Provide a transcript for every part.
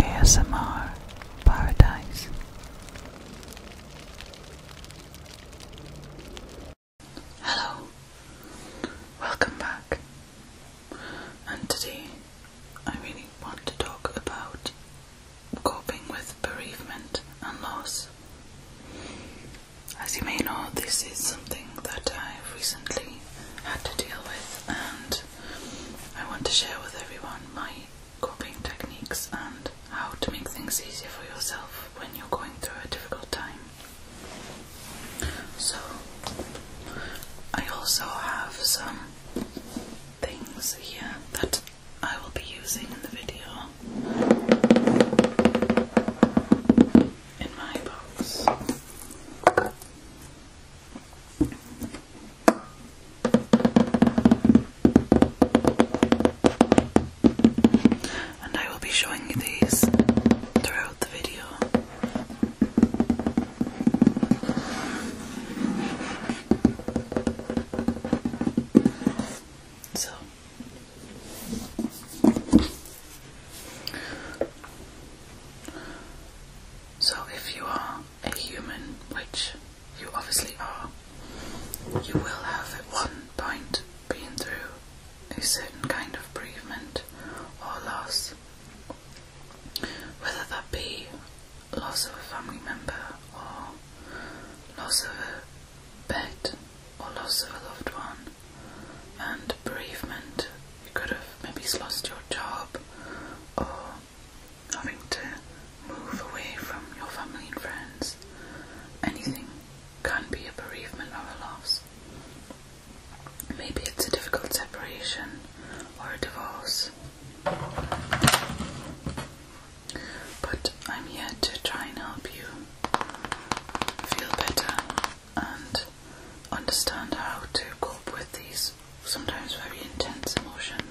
ASMR Paradise. Hello, welcome back. And today I really want to talk about coping with bereavement and loss. As you may know, this is something that i recently had to deal with, and I want to share with everyone my coping techniques and how to make things easier for yourself when you're going through a difficult time. So, I also have some things here that I will be using in the video in my box. And I will be showing you these throughout the video. So so, if you are a human, which you obviously are, you will have at one point been through a certain kind of bereavement or loss, whether that be loss of a family member or loss of a pet or loss of a loved one. And bereavement you could have maybe lost your job or having to move away from your family and friends. Anything can be a bereavement or a loss. Maybe it's a difficult separation or a divorce. But I'm here to try and help you feel better and understand how to cope with these sometimes very intense emotions.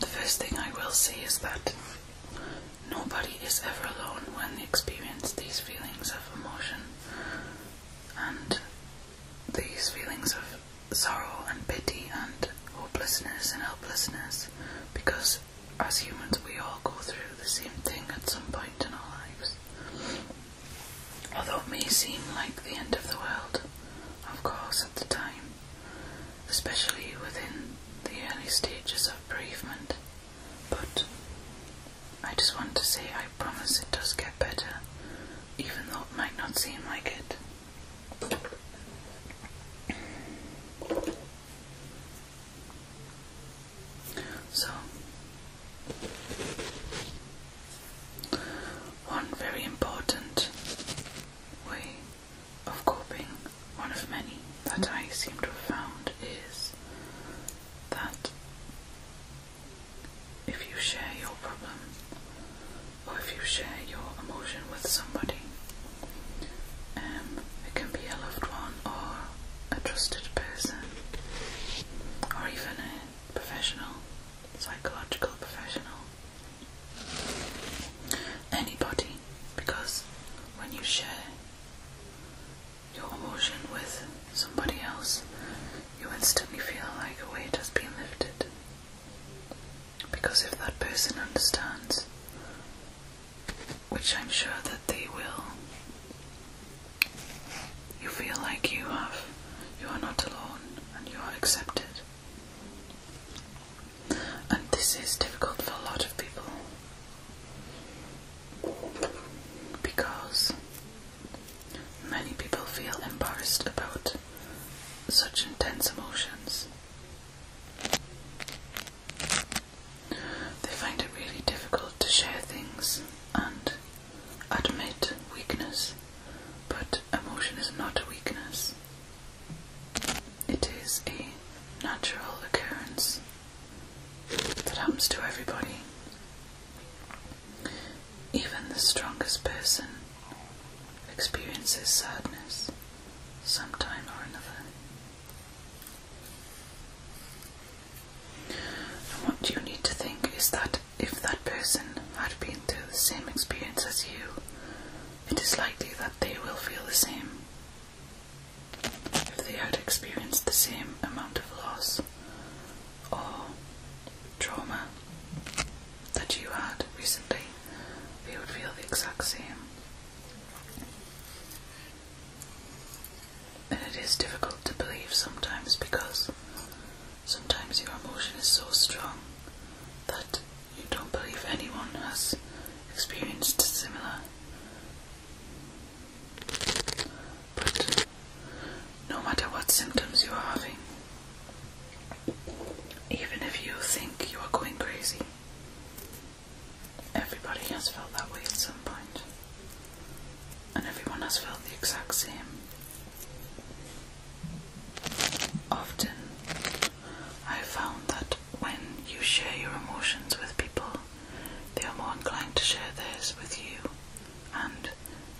The first thing I will see is that nobody is ever alone when they experience these feelings of emotion and these feelings of sorrow and pity and hopelessness and helplessness because as humans, we all go through the same thing at some point in our lives. Although it may seem like the end of the world, of course, at the time, especially within the early stages of bereavement, but I just want to say I promise it does get better, even though it might not seem like it. So, one very important way of coping, one of many that I seem to have found, is that if you share your problem or if you share your emotion with somebody, um, it can be a loved one or a trusted person or even a professional, psychological professional. Anybody, because when you share your emotion with somebody else, you instantly feel like a weight has been lifted. Because if that person understands, which I'm sure that they will. You feel like you have, you are not alone and you are accepted. And this is difficult for a lot of people because many people feel embarrassed about such intense emotions. They find it really difficult to share things and admit weakness, but emotion is not a weakness. It is a natural occurrence that happens to everybody. Even the strongest person experiences sadness sometime or another what you need to think is that if that person had been through the same experience as you, it is likely that they will feel the same. If they had experienced the same amount of loss or trauma that you had recently, they would feel the exact same. And it is difficult to believe sometimes because sometimes your emotion is so strong that you don't believe anyone has experienced similar. But no matter what symptoms you are having, even if you think you are going crazy, Everybody has felt that way at some point, and everyone has felt the exact same. Often, I found that when you share your emotions with people, they are more inclined to share theirs with you, and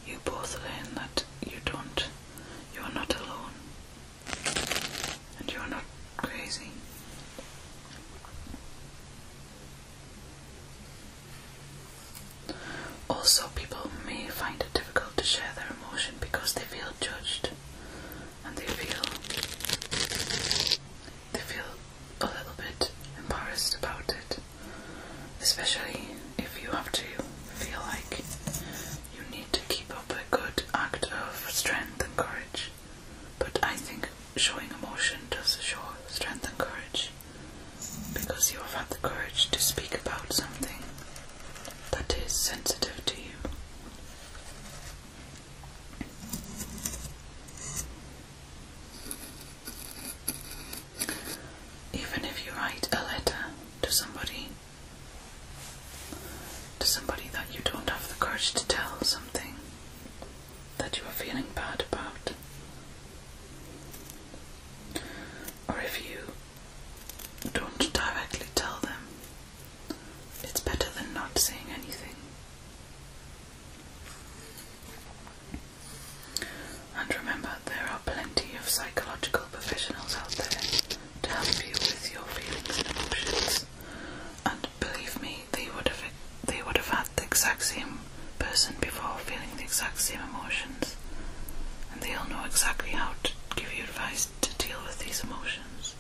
you both learn that you don't, you are not alone and you're not crazy. Also, people may find it difficult to share their emotion because they feel judged and they feel they feel a little bit embarrassed about it, especially if you have to feel like you need to keep up a good act of strength and courage but I think showing emotion does show strength and courage because you have had the courage to speak about something that is sensitive to you. Even if you write a letter to somebody, to somebody that you don't have the courage to tell something, that you are feeling bad about, or if you don't directly tell them, it's better than not saying anything. And remember, there are plenty of psychological professionals out there to help you with your feelings and emotions and believe me, they would have they would have had the exact same person before feeling the exact same emotions, and they'll know exactly how to give you advice to deal with these emotions.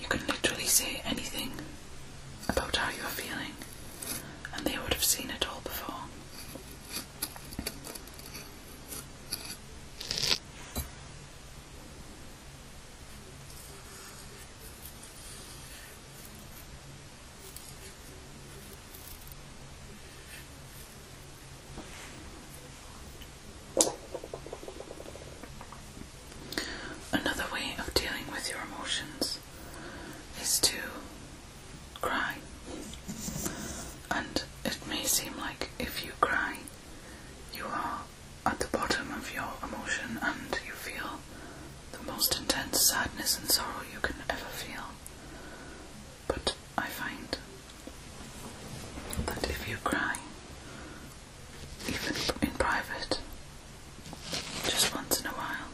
You can literally say anything about how you're feeling, and they would have seen it all before. Another way of dealing with your emotions is to cry. And it may seem like if you cry, you are at the bottom of your emotion and you feel the most intense sadness and sorrow you can ever feel. But I find that if you cry, even in private, just once in a while,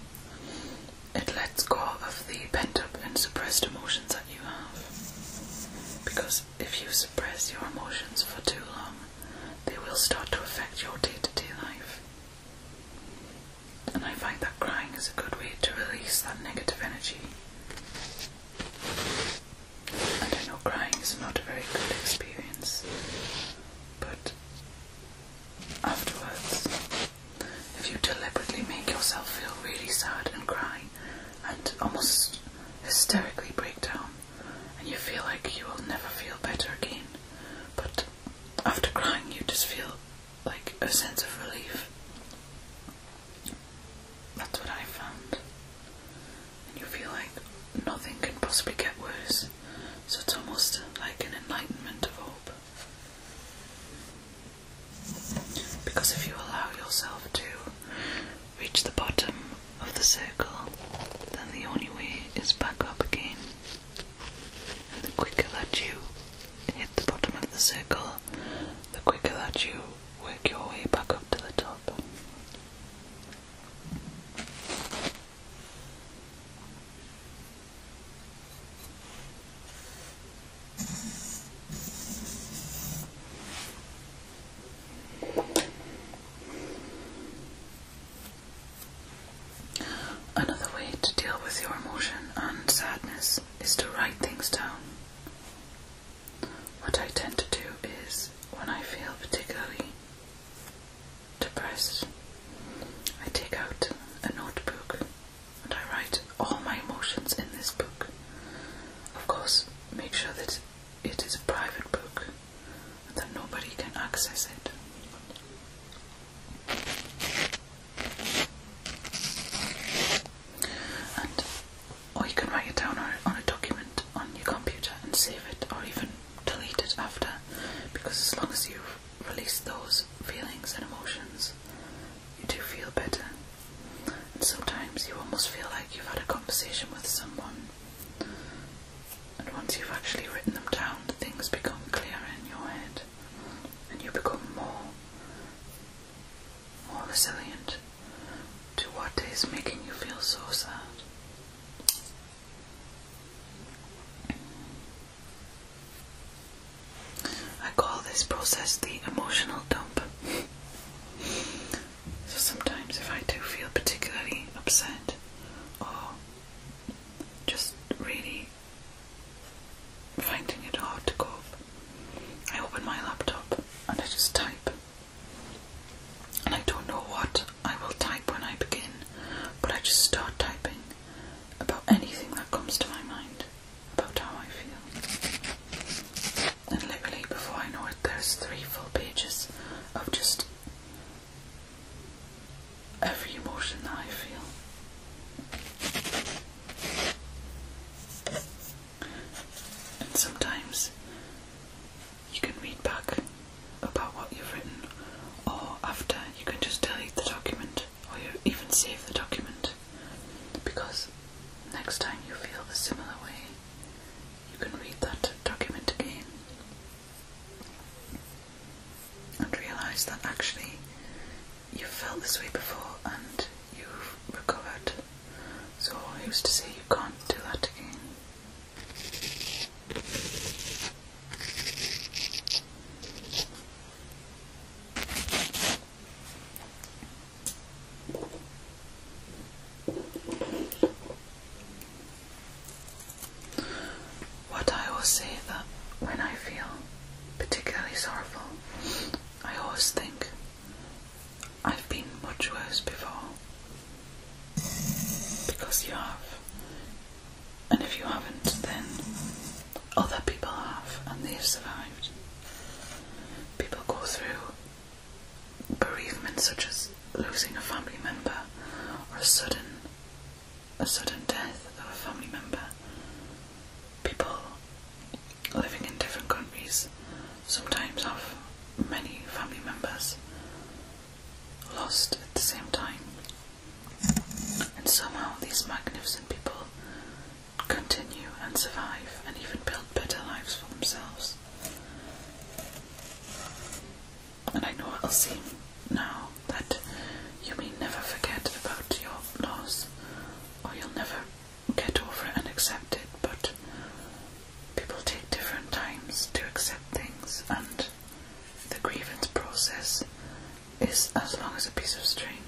it lets go of the pent up and suppressed emotions that you have. Because if you suppress your emotions for too long, they will start to affect your day to day life. And I find that crying is a good way to release that negative energy. I know crying is not a very good experience, but afterwards, if you deliberately make yourself feel really sad and cry and almost hysterically break down, and you feel like you will never feel better again. But after crying, you just feel like a sense of relief. That's what I found. And you feel like nothing can possibly get worse. So it's almost like an enlightenment of hope. Because if you allow yourself to reach the bottom of the circle, then the only way is back up again. And the quicker that you hit the bottom of the circle, the quicker that you work your way back up to the top. Another way to deal with your emotion and sadness is to write things down. What I tend to do is when I feel particularly depressed, I take out a notebook and I write all my emotions in this book. Of course, make sure that it is a private book and that nobody can access it. And or you can write it down on a document on your computer and save it or even delete it after because as long as you release those feelings and emotions you do feel better and sometimes you almost feel like you've had a conversation with someone and once you've actually written them down, things become clearer in your head and you become more more resilient to what is making you feel so sad. I call this process the emotional dump. So sometimes if I do feel particularly upset or just really finding it hard to cope, I open my laptop and I just type. And I don't know what I will type when I begin, but I just start typing about anything that comes to my mind, about how I feel. And literally, before I know it, there's three full pages of just every emotion that I feel. And sometimes you can read back about what you've written, or after you can just delete the document or you even save the document because next time you feel the similar way, you can read that document again and realise that actually you've felt this way before and you've recovered. So, who's to say you can't do that again? What I always say that when I feel particularly sorrowful, I always think I've been much worse before. Because you have. And if you haven't, then other people have and they've survived. People go through bereavement such as losing a family member or a sudden a sudden death of a family member. People living in different countries sometimes have many family members lost at the same time. And somehow these magnificent people continue and survive and even build better lives for themselves and I know i will see now that you may never forget about your loss, or you'll never get over it and accept it, but people take different times to accept things, and the grievance process is as long as a piece of string.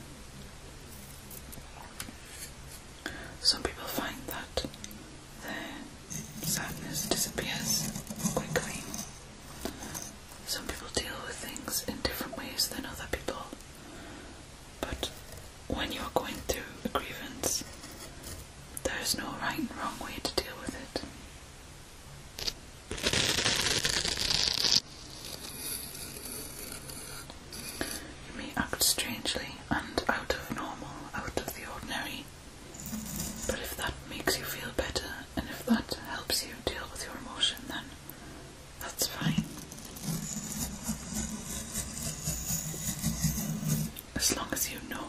Some people find that sadness disappears quickly. Some people deal with things in different ways than other people, but when you're going through a grievance, there is no right and wrong way to deal with it. You may act strangely and out of normal, out of the ordinary, but if that makes you feel better and if that helps you deal with your emotion, then that's fine. As long as you know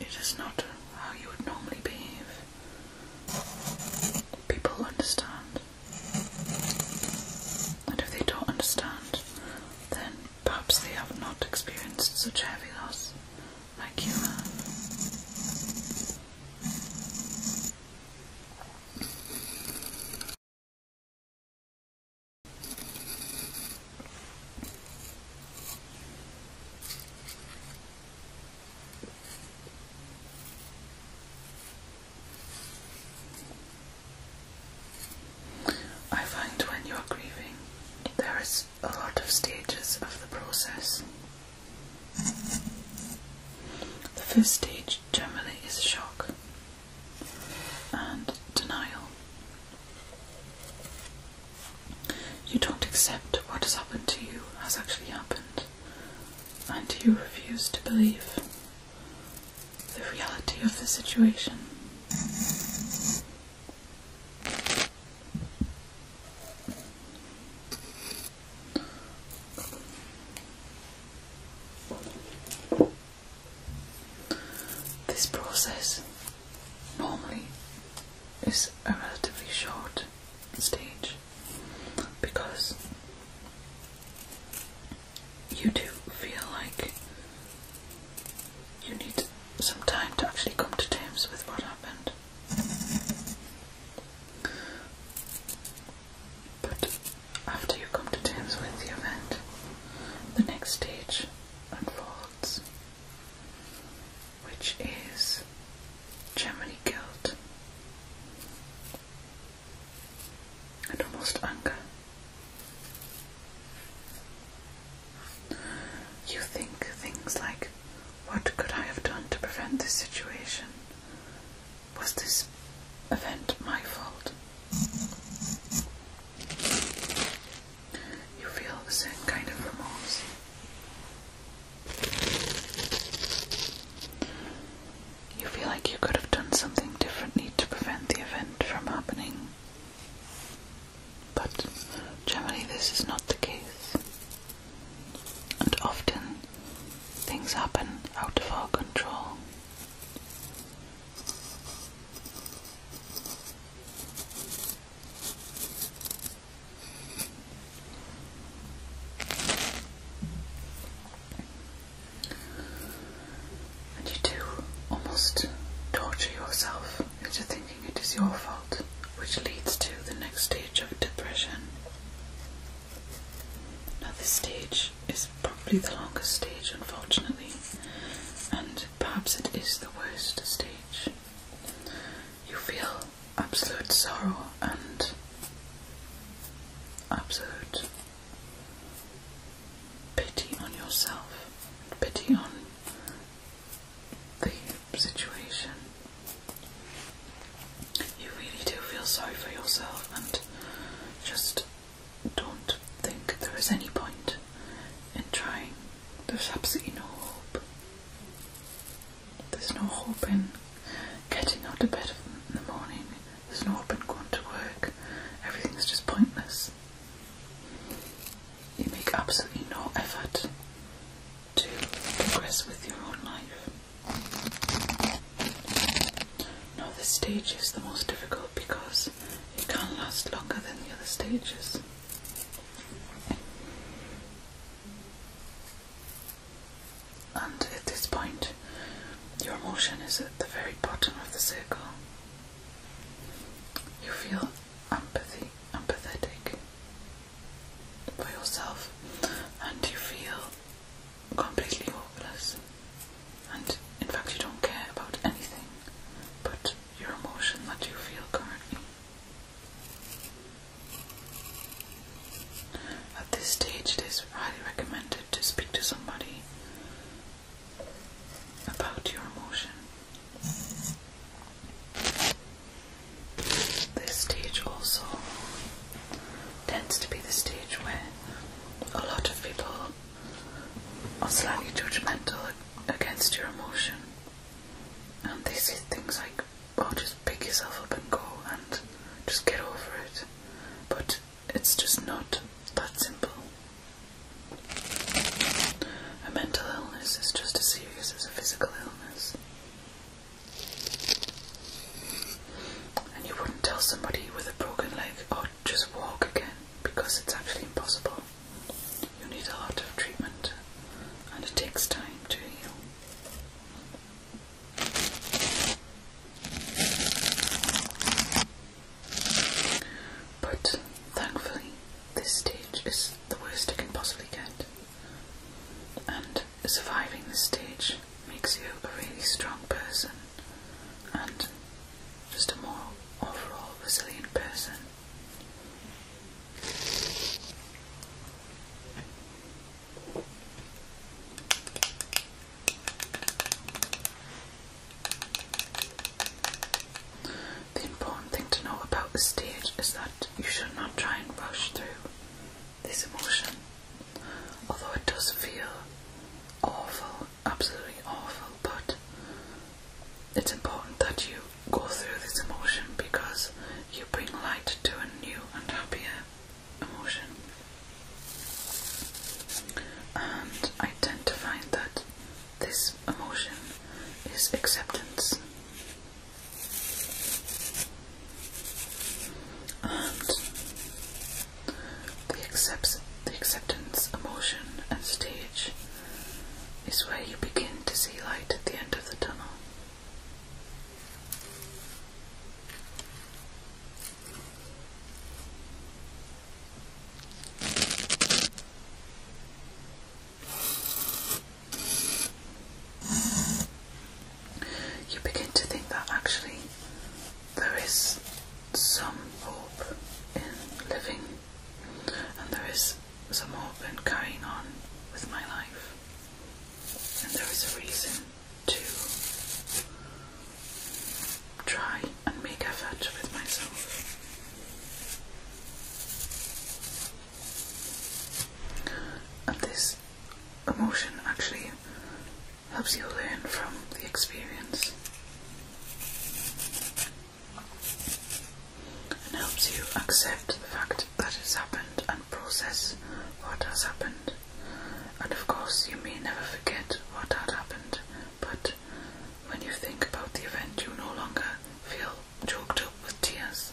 it is not how you would normally behave, people understand. And if they don't understand, then perhaps they have not experienced such heavy loss like you I find when you are grieving, there is a lot of stages of the process. The first stage generally is shock and denial. You don't accept what has happened to you as actually happened, and you refuse to believe the reality of the situation. This process normally is a relatively short stage because you do feel like you need some time to actually come to terms with what happened. But after you come to terms with the event, the next stage unfolds, which is Germany guilt and almost anger. You think things like, what could I have done to prevent this situation? Was this event my fault? You feel a certain kind of remorse. You feel like you could have done something differently to prevent the event from happening but generally this is not the case. And often things happen out of our control. And you do almost torture yourself into thinking it is your fault, which leads to the next stage of depression. Now, this stage is probably the longest stage, unfortunately, and perhaps it is the worst stage. You feel absolute sorrow and absolute pity on yourself, pity on the situation. You really do feel sorry for yourself and just don't think there is any point in trying. There's absolutely no hope. There's no hope in getting out of bed in the morning. There's no hope in going to work. Everything's just pointless. You make absolutely no effort to progress with your own life. Now, this stage is the most difficult because it can not last longer than the other stages. And at this point, your emotion is at the very bottom of the circle. You feel empathy, empathetic, for yourself and you feel completely hopeless and in fact you don't care about anything but your emotion that you feel currently. At this stage it is highly recommended to speak to somebody about your emotion. This stage also tends to be the stage where a lot of people are slightly judgmental against your emotion, and they say things like, "Oh, just pick yourself up and go, and just get over it," but it's just not that simple. A mental illness is just as serious as a physical illness. And you wouldn't tell somebody with a broken leg, oh, just walk again, because it's actually impossible. You need a lot of treatment, and it takes time to heal. But thankfully, this stage is the worst I can possibly get. And surviving this stage makes you a really strong person and just a more overall resilient person. The importance important thing to know about the stage is that you should not try and rush through this emotion. Although it does feel awful, absolutely awful, but it's important that you go through this emotion because you bring light to a new and happier emotion. And I tend to find that this emotion is acceptance and the, accepts, the acceptance, emotion and stage is where you begin to see light at the end of the tunnel. You begin to think that actually there is some hope in living, and there is some hope in carrying on with my life, and there is a reason to try and make effort with myself. And this emotion actually helps you learn from the experience and helps you accept the fact that it's happened and process what has happened. And of course, you may never forget what had happened, but when you think about the event, you no longer feel choked up with tears.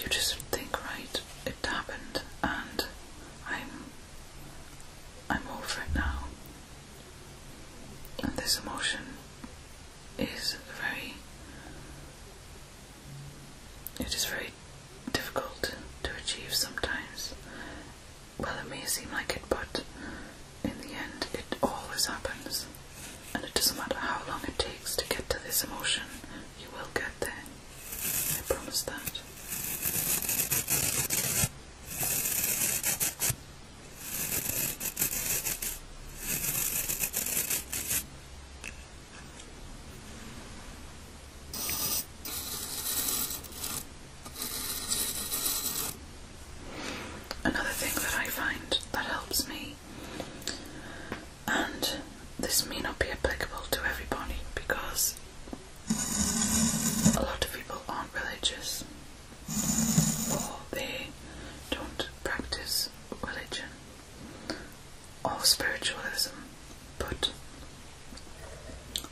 You just think, right, it happened, and I'm I'm over it now. And this emotion is very it is very difficult to achieve sometimes. Well, it may seem like it, but in the end, it always happens. And it doesn't matter how long it takes to get to this emotion, you will get there. I promise that. Another thing that I find that helps me and this may not be applicable to everybody because a lot of people aren't religious or they don't practice religion or spiritualism, but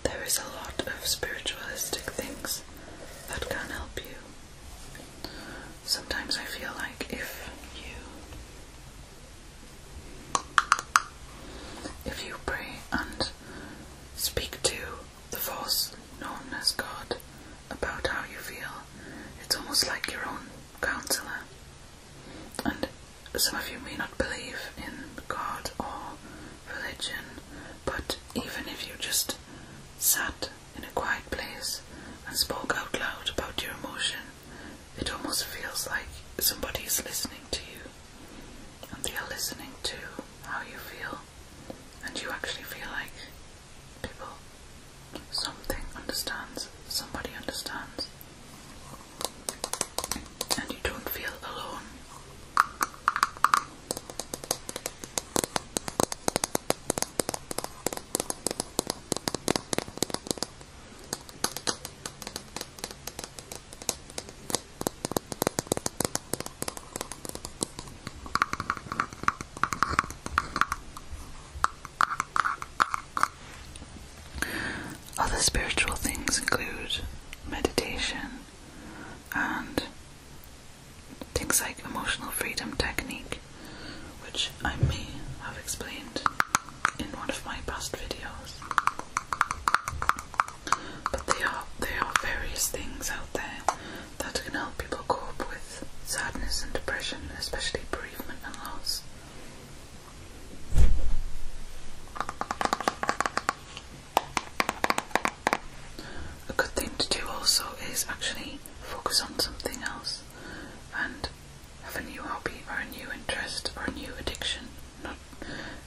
there is a lot of spiritualistic things that can help you. Sometimes I feel like if you if you pray and speak to the force known as God about how you feel, it's almost like your own counselor. And some of you may not believe in God or religion, but even if you just sat in a quiet place and spoke out loud about your emotions. It almost feels like somebody is listening to you, and they are listening to how you feel, and you actually feel like people, something understands, somebody understands, and you don't feel alone. Other spiritual things include meditation and things like emotional freedom technique, which I may have explained in one of my past videos. But there are there are various things out there that can help people cope with sadness and depression, especially bereavement and loss. A good thing to do also is actually focus on something else and of a new hobby or a new interest or a new addiction. Not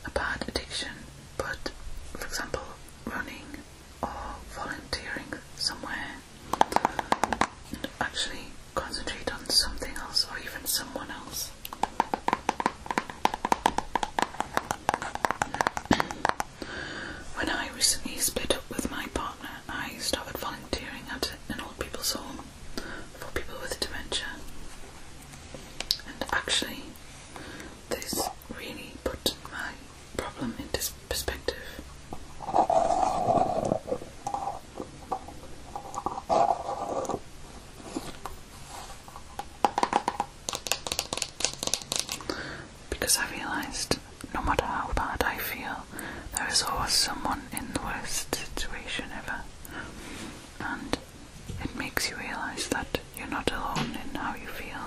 a bad addiction, but for example, running or volunteering somewhere and actually concentrate on something else or even someone else. when I recently split up with my partner, I started volunteering at an old people's home for people with dementia. And actually, this really put my problem into perspective. Because I realised no matter how bad I feel, there is always someone in the worst situation ever and it makes you realize that you're not alone in how you feel.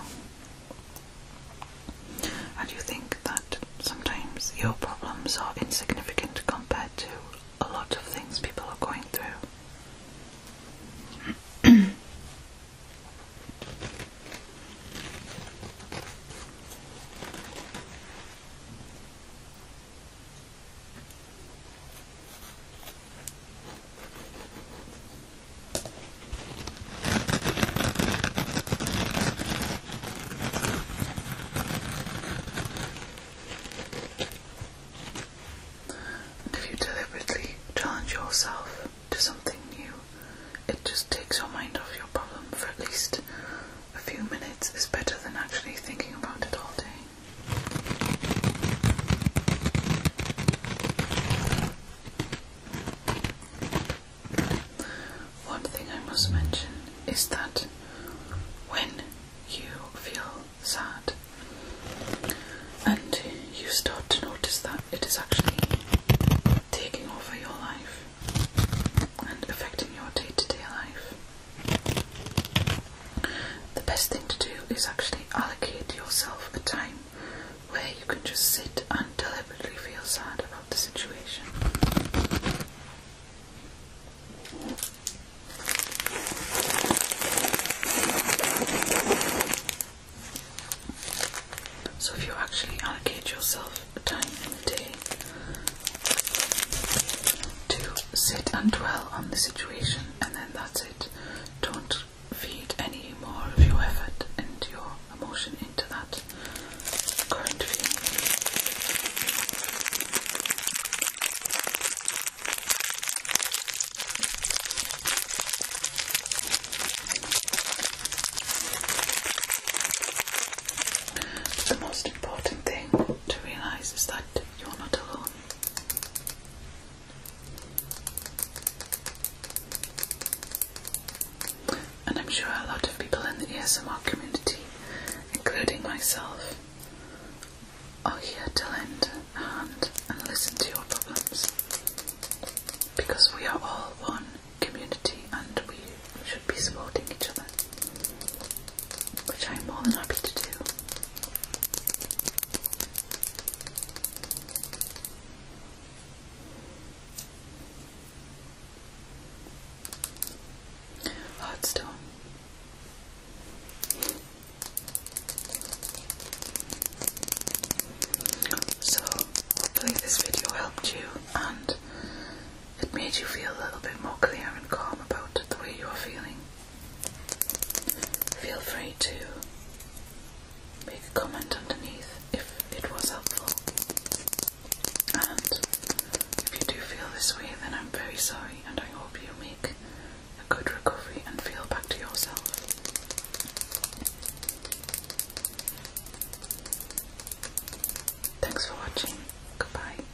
And you think that sometimes your problems are insignificant compared to a lot of things people are going through if you deliberately challenge yourself to something new, it just takes your mind off your problem for at least a few minutes, is better than actually thinking about it all day. One thing I must mention is that when you feel sad and you start to notice that it is actually taking over your life and affecting your day to day life, the best thing to do is actually allocate yourself a time where you can just sit and deliberately feel sad about the situation. So, if you actually allocate yourself a time in the day to sit and dwell on the situation, and then that's it. Don't feed any more of your effort and your emotion into that current feeling. The most important thing to realize is that you're not alone. And I'm sure a lot of people in the ESMR community, including myself, are here to lend a hand and listen to your problems. Because we are all one community and we should be supporting each other which I'm more than happy to do. Hardstone. So, hopefully, this video helped you and it made you feel a little bit more clear and calm about the way you're feeling. Feel free to make a comment underneath if it was helpful. And if you do feel this way, then I'm very sorry, and I hope you make a good recovery and feel back to yourself. Thanks for watching. Goodbye.